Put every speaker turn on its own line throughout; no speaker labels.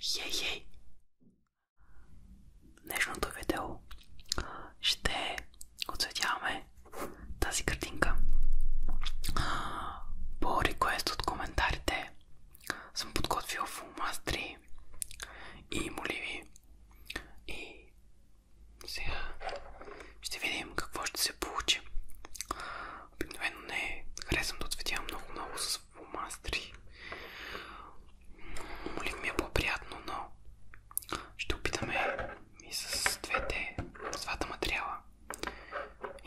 Хей-хей! Днешното видео ще оцветяваме тази картинка. По реквест от коментарите съм подготвил фулмастри и моливи и сега ще видим какво ще се получи. Обикновено не е харесвам да ответя много-много с фломастри. Е но ще опитаме и с двете, двата материала.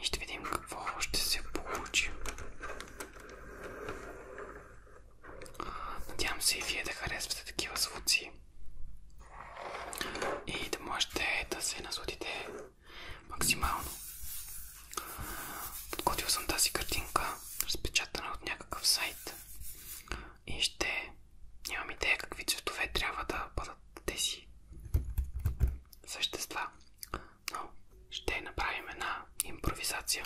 И ще видим какво ще се получи. Надявам се и вие да харесвате такива звуци и да можете да се насладите максимално. Подготвил съм тази картинка, разпечатана от някакъв сайт и ще нямам идея какви цветове трябва да бъдат тези същества, но ще направим една импровизация.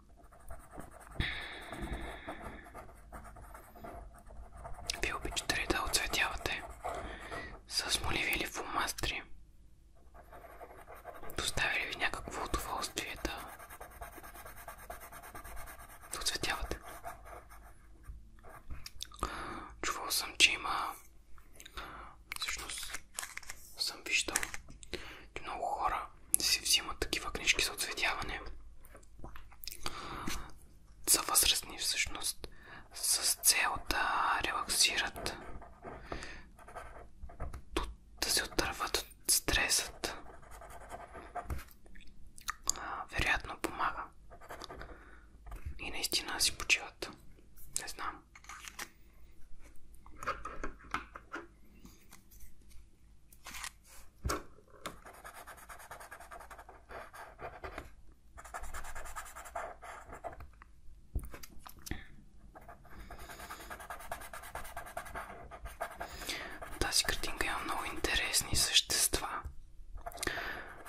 Вие обичате да оцветявате с моливи или фумастри? Доставя ли ви някакво удоволствие да, да оцветявате? Чувал съм, че има... Всъщност съм виждал, че много хора си взимат такива книжки за отцветяване. За възрастни всъщност, с цел да релаксират, да се отърват от стресът. Вероятно помага. И наистина си почиват. Не знам. Тази картинка има много интересни същества.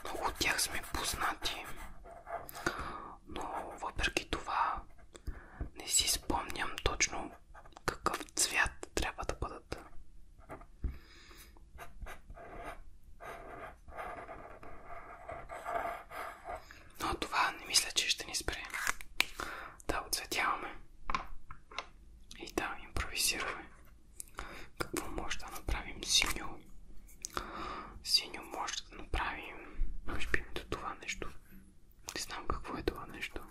Много от тях сме познати, но въпреки това не си спомням точно какъв цвят трябва да бъдат. Но това не мисля, че ще ни спре. Да, отцветяваме. И да, импровизираме. Какво може да направим синьо? Синьо може да направим... Може би до това нещо. Не знам какво е това нещо.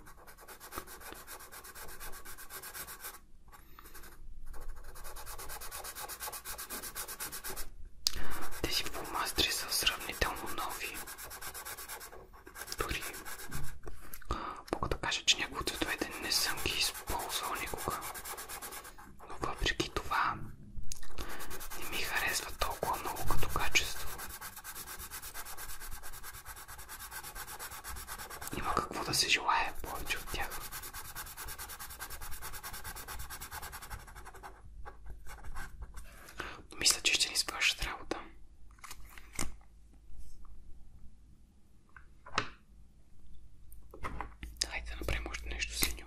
Тези фломастри са сравнително нови. Дори мога да кажа, че някои от цветовете не съм ги използвал никога. Но въпреки това не ми харесва толкова много като качество. Има какво да се желая повече от тях. Мисля, че ще ни свършат работа. Хайде да направим още нещо синьо.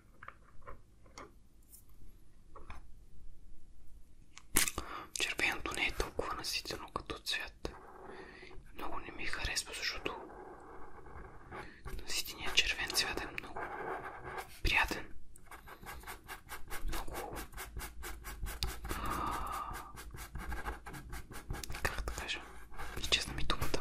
Червеното не е толкова наситено като цвят. Много не ми харесва, защото наситеният червен цвят е много приятен. Много... А... Как да кажа? Честна ми думата.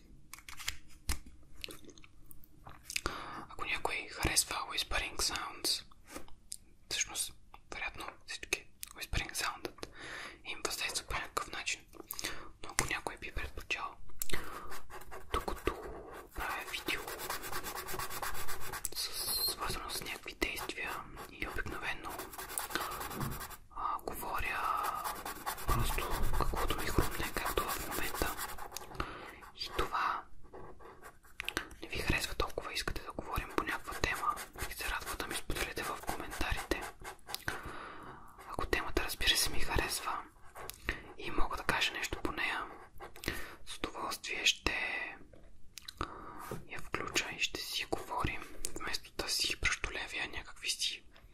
Ако някой харесва Whispering Sounds, всъщност, вероятно всички Whispering Sound им въздейства по някакъв начин. Но ако някой би предпочел, докато правя видео свързано с някакви действия и обикновено а, говоря просто каквото ми хрумне, както в момента. И това не ви харесва толкова, искате да говорим по някаква тема и се радва да ми споделите в коментарите. Ако темата разбира се ми харесва и мога да кажа нещо по нея, с удоволствие ще я включа и ще си говорим, вместо да си пръщолявя някакви си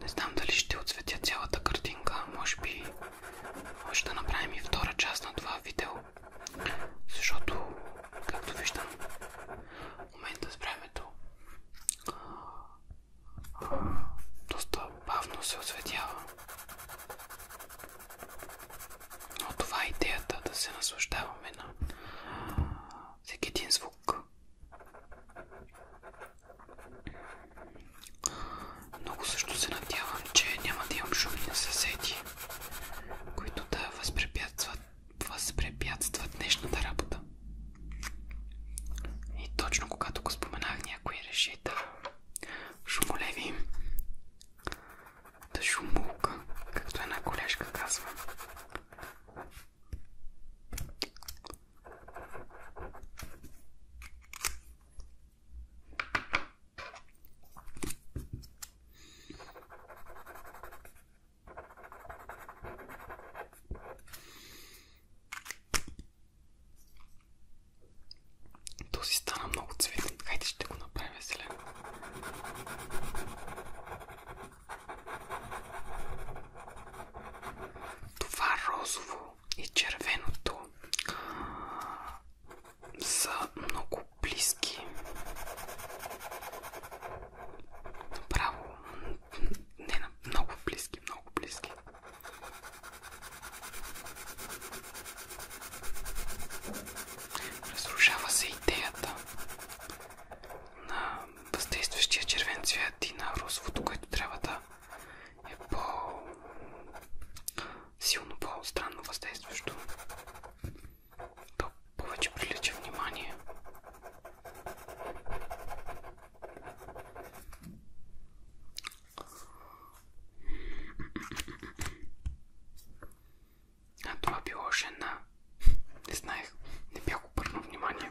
Не знам дали ще отцветя цялата картинка. Може би може да направим и втора част на това видео. Защото, както виждам, в момента с времето доста бавно се осветява. Но това е идеята да се наслаждаваме на всеки един звук, много също се надявам, че няма да имам шумни съседи, които да възпрепятстват, възпрепятстват днешната работа. И точно когато го споменах, някой реши да шумолеви, да шумулка, както една колежка казва. То си стана много цветен. Хайде ще го направя зелен. Това розово и червеното са много близки. Направо, не, много близки, много близки. Разрушава се идеята на въздействащия червен цвят и на розовото, което трябва да е по-силно, по-странно въздействащо. То повече прилича внимание. А това било жена. Не знаех. Не бях обърнал внимание.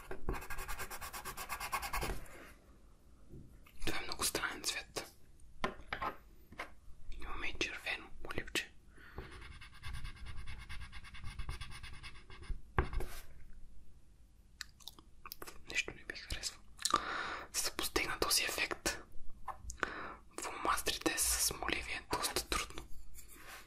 Това е много странен цвет. Имаме и червено оливче. Нещо не ми харесва. За да постигна този ефект, в мастрите с моливия е доста трудно.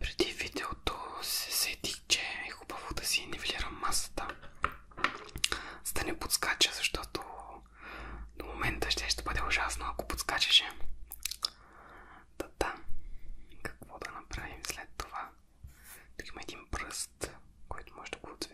Преди видеото се сетих, че е хубаво да си нивелирам масата, за да не подскача, защото до момента ще, ще бъде ужасно, ако подскачаше. Та да, какво да направим след това? Тук има един пръст, който може да го отведе.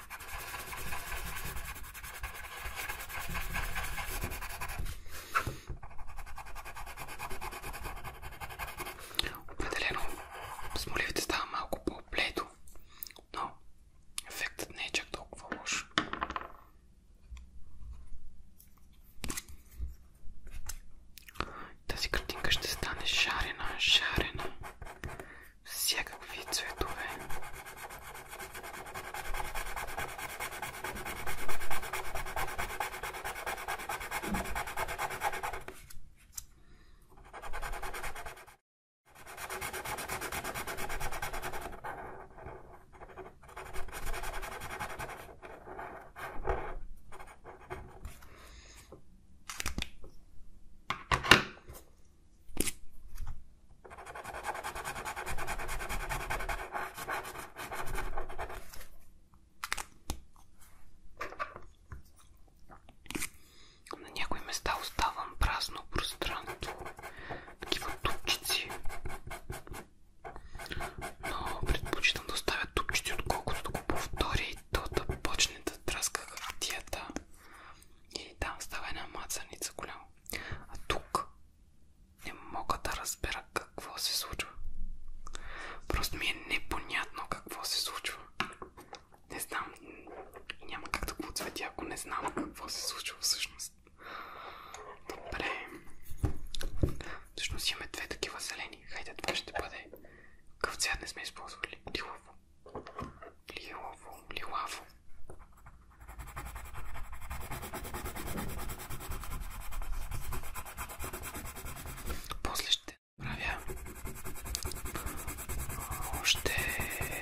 Определено с моливите става малко по-бледо, но ефектът не е чак толкова лош. Тази картинка ще стане шарена, шарена всякакви цветове. На някои места оставам празно пространство, такива тупчици. Но предпочитам да оставя тупчици, отколкото да го повторя и то да почне да траска хартията. И там става една мацаница голяма. А тук не мога да разбера какво се случва. Просто ми е непонятно какво се случва. Не знам. Няма как да го ако не знам какво се случва всъщност. Добре. Всъщност имаме две такива зелени. Хайде, това ще бъде. Къв не сме използвали. Дилово. Млилаво, млилаво. После ще правя още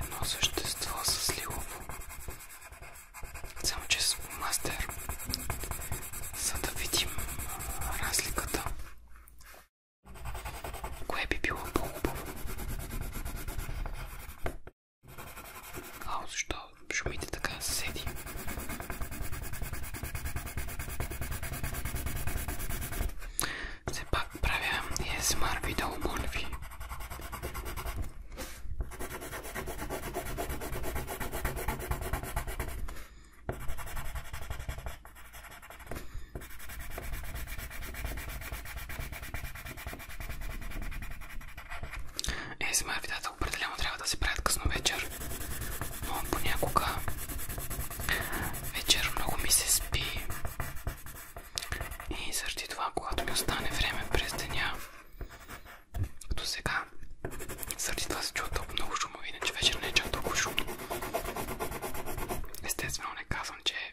едно същество с лилово. Само че с мастер. За да видим разликата. Кое би било по-хубаво? А, защо шумите така съседи? Все пак правя ASMR видео, моля ви. Есма видеята определено трябва да се правят късно вечер, но понякога вечер много ми се спи и заради това, когато ми остане време през деня, като сега, заради това се чува толкова много шумови, иначе вечер не е чак толкова шумно. Естествено не казвам, че е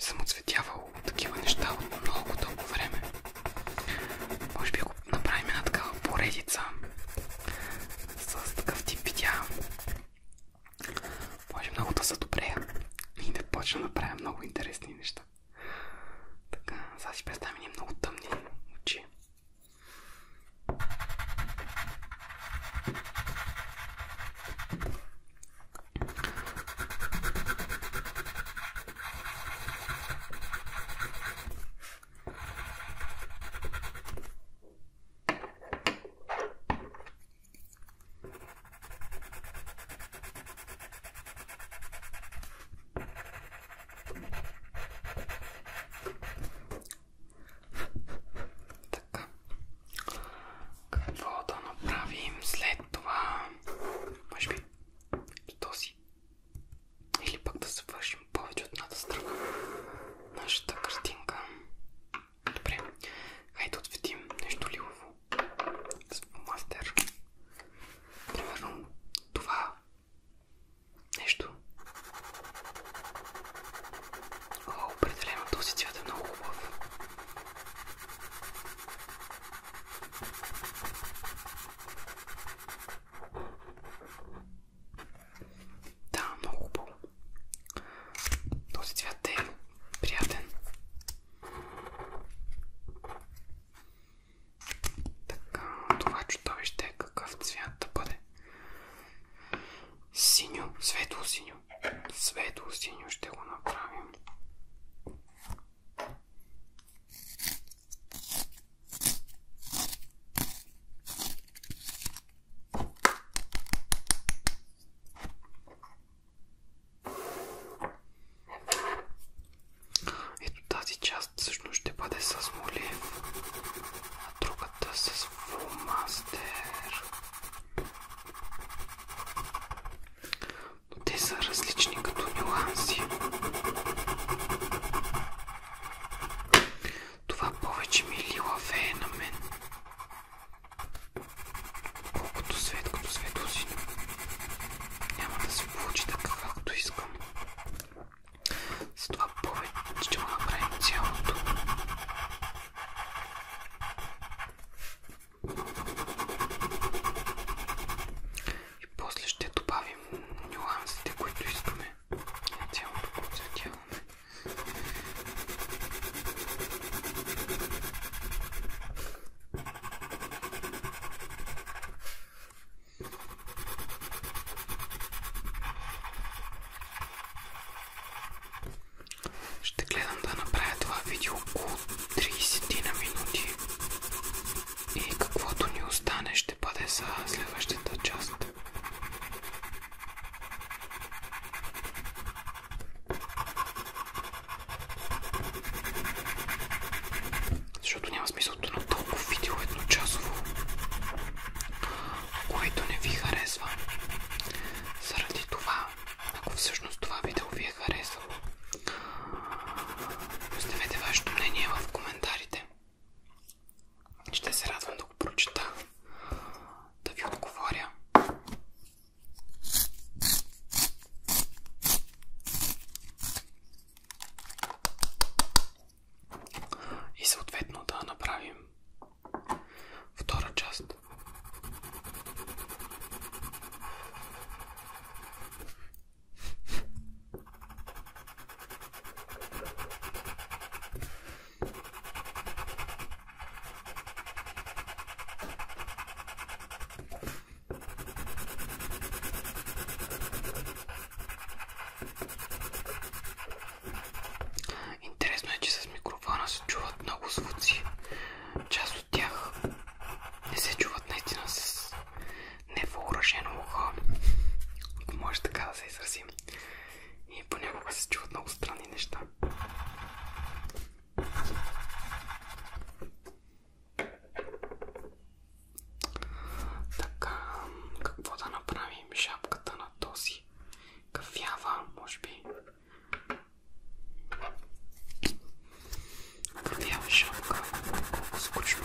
съм отцветявал такива неща от много дълго време. Може би ако направим една такава поредица с такъв тип видеа. Може много да са добре и да почна да правя много интересни неща. Така, сега си представям ни много тъмни очи. Така. Какво да направим след това? Може би този или пък да завършим повече от едната страна. Нашата картинка. Добре. Хайде ответим нещо лилово. Мастер. Примерно това. Нещо. О, определено този цвят е много хубав. Да, много хубаво. Този цвят е приятен. Така, това чудовище е какъв цвят да бъде? Синьо, светло синьо. Светло синьо ще го направим. Ето тази част всъщност ще бъде с молив, а другата с фулмастер. Но те са различни като нюанси това повече ми лилавее на мен. Колкото светкото светлосино. Няма да се получи така, както искам. С това повече ще го направим цялото. И после ще добавим нюансите, които искаме. Yatıyor mu? Ще гледам да направя това видео около 30 на минути и каквото ни остане ще бъде за следващата част. Защото няма смисъл на толкова видео едночасово, което не ви харесва. Заради това, ако всъщност това видео ви е харесало, оставете вашето мнение в коментарите. Ще се радвам да го прочета, да ви отговоря. И съответно да направим втора част. Интересно е, че с микрофона се чуват много звуци. Част от тях не се чуват наистина с невъоръжено ухо, ако може така да се изразим. И понякога се чуват много странни неща. Така, какво да направим? Шапката на този кафява, може би. Кафява шапка. Колко скучно.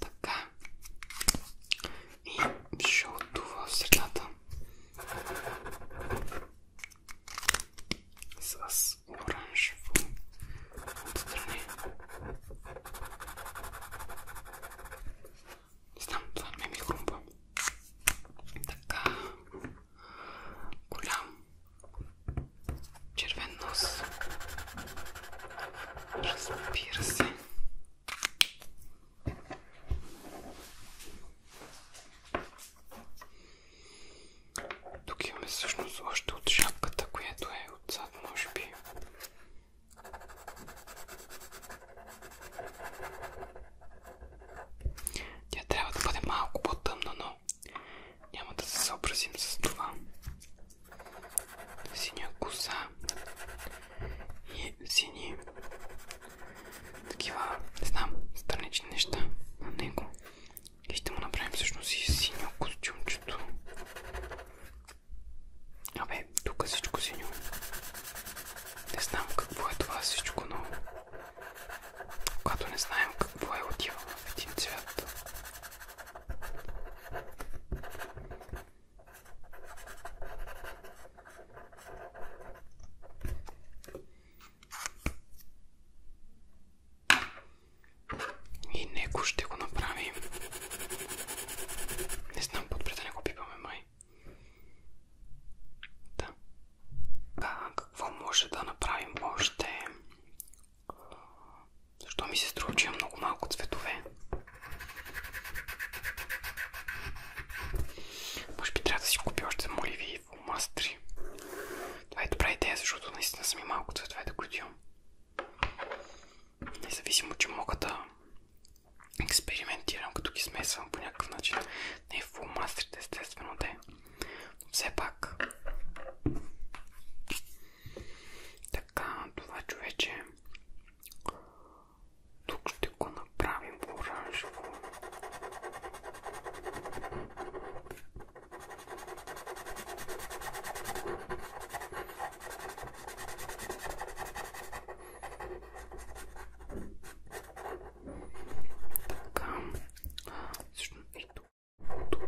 Така. И ще отдува в средата. С оранжево отстрани. Не знам, това не ми хрумба. Така. Голям червен нос. Разбира се. Тук имаме всъщност още от шапката, която е отзад, може би. Тя трябва да бъде малко по-тъмна, но но няма да се съобразим с това. Синя коса и сини такива, не знам, странични неща на него. И ще му направим всъщност и синьо костюмчето. Абе, тук е всичко синьо. Не знам какво е това всичко, но когато не знаем какво е отива в един цвят, и него ще го направим. Не знам, подпред да не го пипаме май. Да. А, какво може да направим още? Защо ми се струва, че има много малко цветове? Може би трябва да си купя още моливи в Алмастри. Това е добра идея, защото наистина са ми малко цветове да които имам. Независимо, че мога да експериментирам, като ги смесвам по някакъв начин. Не в фулмастрите, естествено, да е. Все пак. Така, това човече. Тук ще го направим оранжево. Така. Всъщност и тук тук.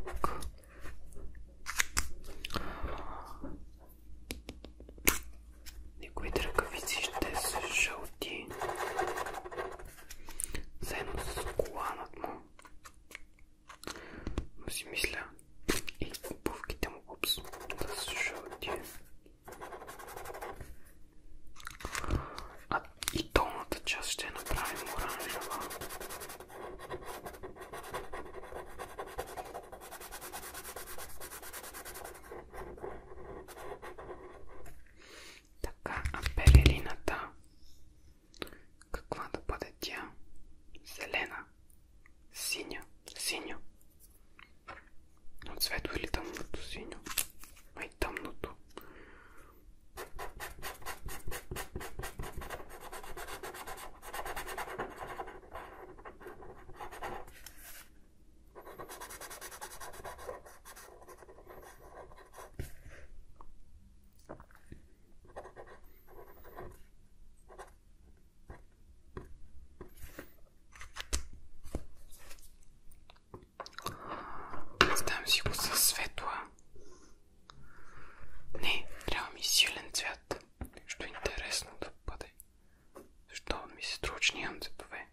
Никоите ръкавици ще са жълти. Заедно с коланът му. Но си мисля и обувките му опс, да са жълти. А и долната част ще направим оранжева. Така, а перелината, каква да бъде тя? Зелена, синя, синьо. От светло или тъмното синьо? Ай, тъмното. Представям си го със светла не, трябва ми силен цвят. Нещо интересно да бъде. Защо ми се струва, че нямам цветове?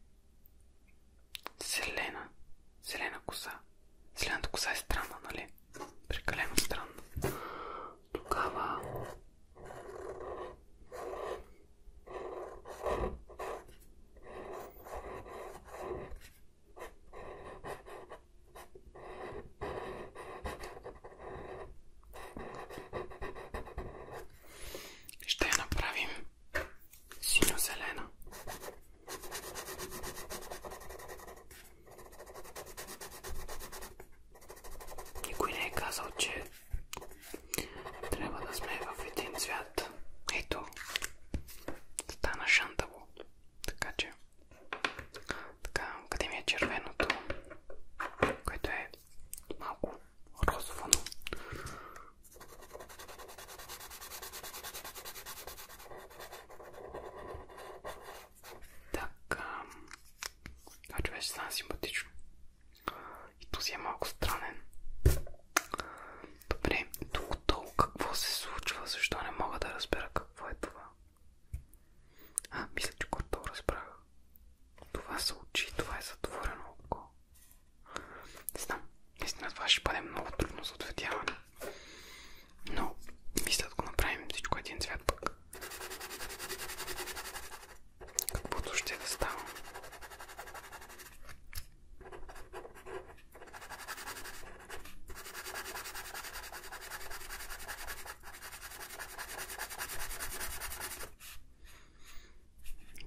Зелена. Зелена коса. Зелената коса е странна, нали? Прекалено странна. Тогава... Ще я направим синьо-зелена. Никой не е казал, че трябва да сме в един цвят. Ето, стана шантаво. Така че, така, къде ми е червеното, което е малко розово, но... Така, това човече стана симпатично. И този е малко странен. Добре, тук долу какво се случва? Защо не мога да разбера какво е това? А, мисля, че когато разбрах. Това са очи, това е затворено око. Не знам, наистина това ще бъде много трудно за ответяване. Но, мисля да го направим всичко един цвят пък. Каквото ще да става.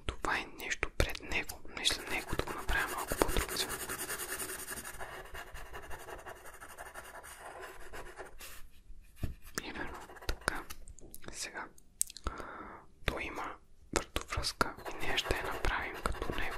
Това е нещо пред него. Мисля него да го направя малко по Именно така. Сега. Той има въртовръзка и ние ще я направим като него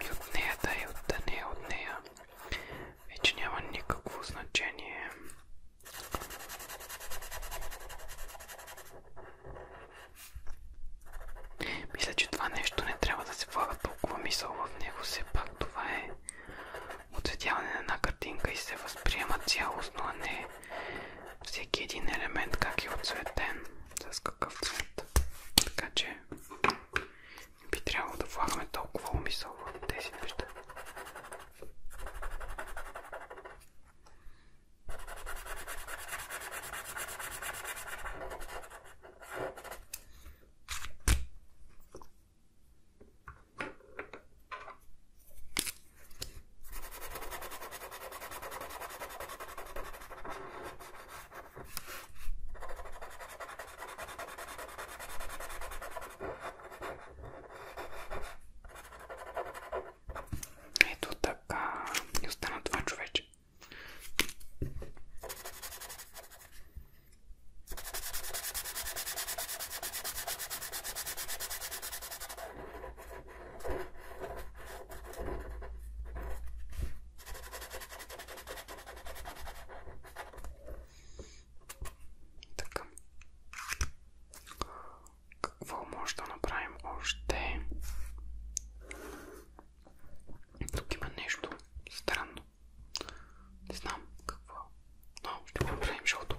И от нея да е, от да е, от нея. Вече няма никакво значение. Мисля, че това нещо не трябва да се влага толкова мисъл в него. Все пак това е отсветяване на една картинка и се възприема цялостно, а не всеки един елемент как е отцветен, с какъв цвет. Така че би трябвало да влагаме толкова умисъл в тези неща. Ето така и остана това човече. Така. Какво Тук има нещо странно. Не знам какво. ще направим, защото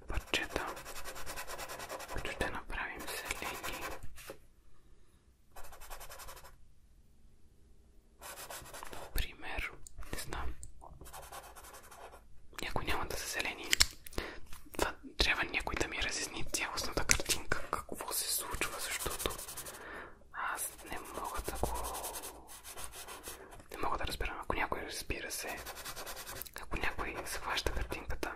и които ще направим зелени. Например, не знам, някои няма да са трябва някой да ми разясни цялостната картинка, какво се случва, защото аз не мога да Не мога да разбера, ако някой разбира се, ако някой схваща картинката,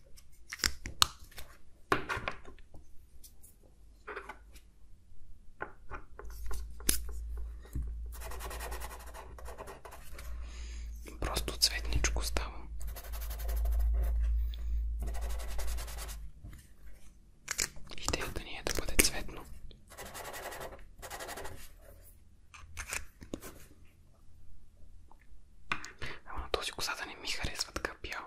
Просто цветничко става. Идеята ни е да бъде цветно. Ама на този косата не ми харесва така бяло.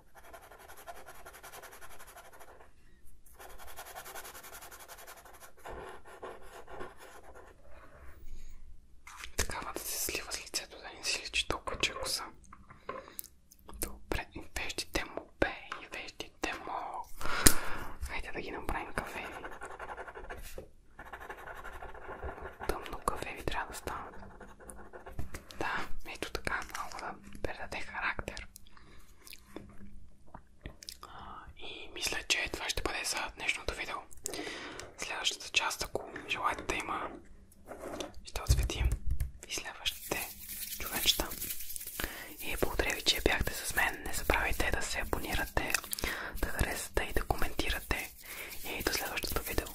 Такавата се слива с лицето, да не си личи толкова, че коса. Добре, веждите му, бе, веждите му. Хайде да ги направим кафе. Тъмно кафе ви трябва да стане. Да, ето така, малко да предаде характер. И мисля, че това ще бъде за днешното видео. Следващата част, ако желаете да има, ще отсветим и следващите човечета. И благодаря ви, че бяхте с мен. Не забравяйте да се абонирате, да харесате и да коментирате. И до следващото видео.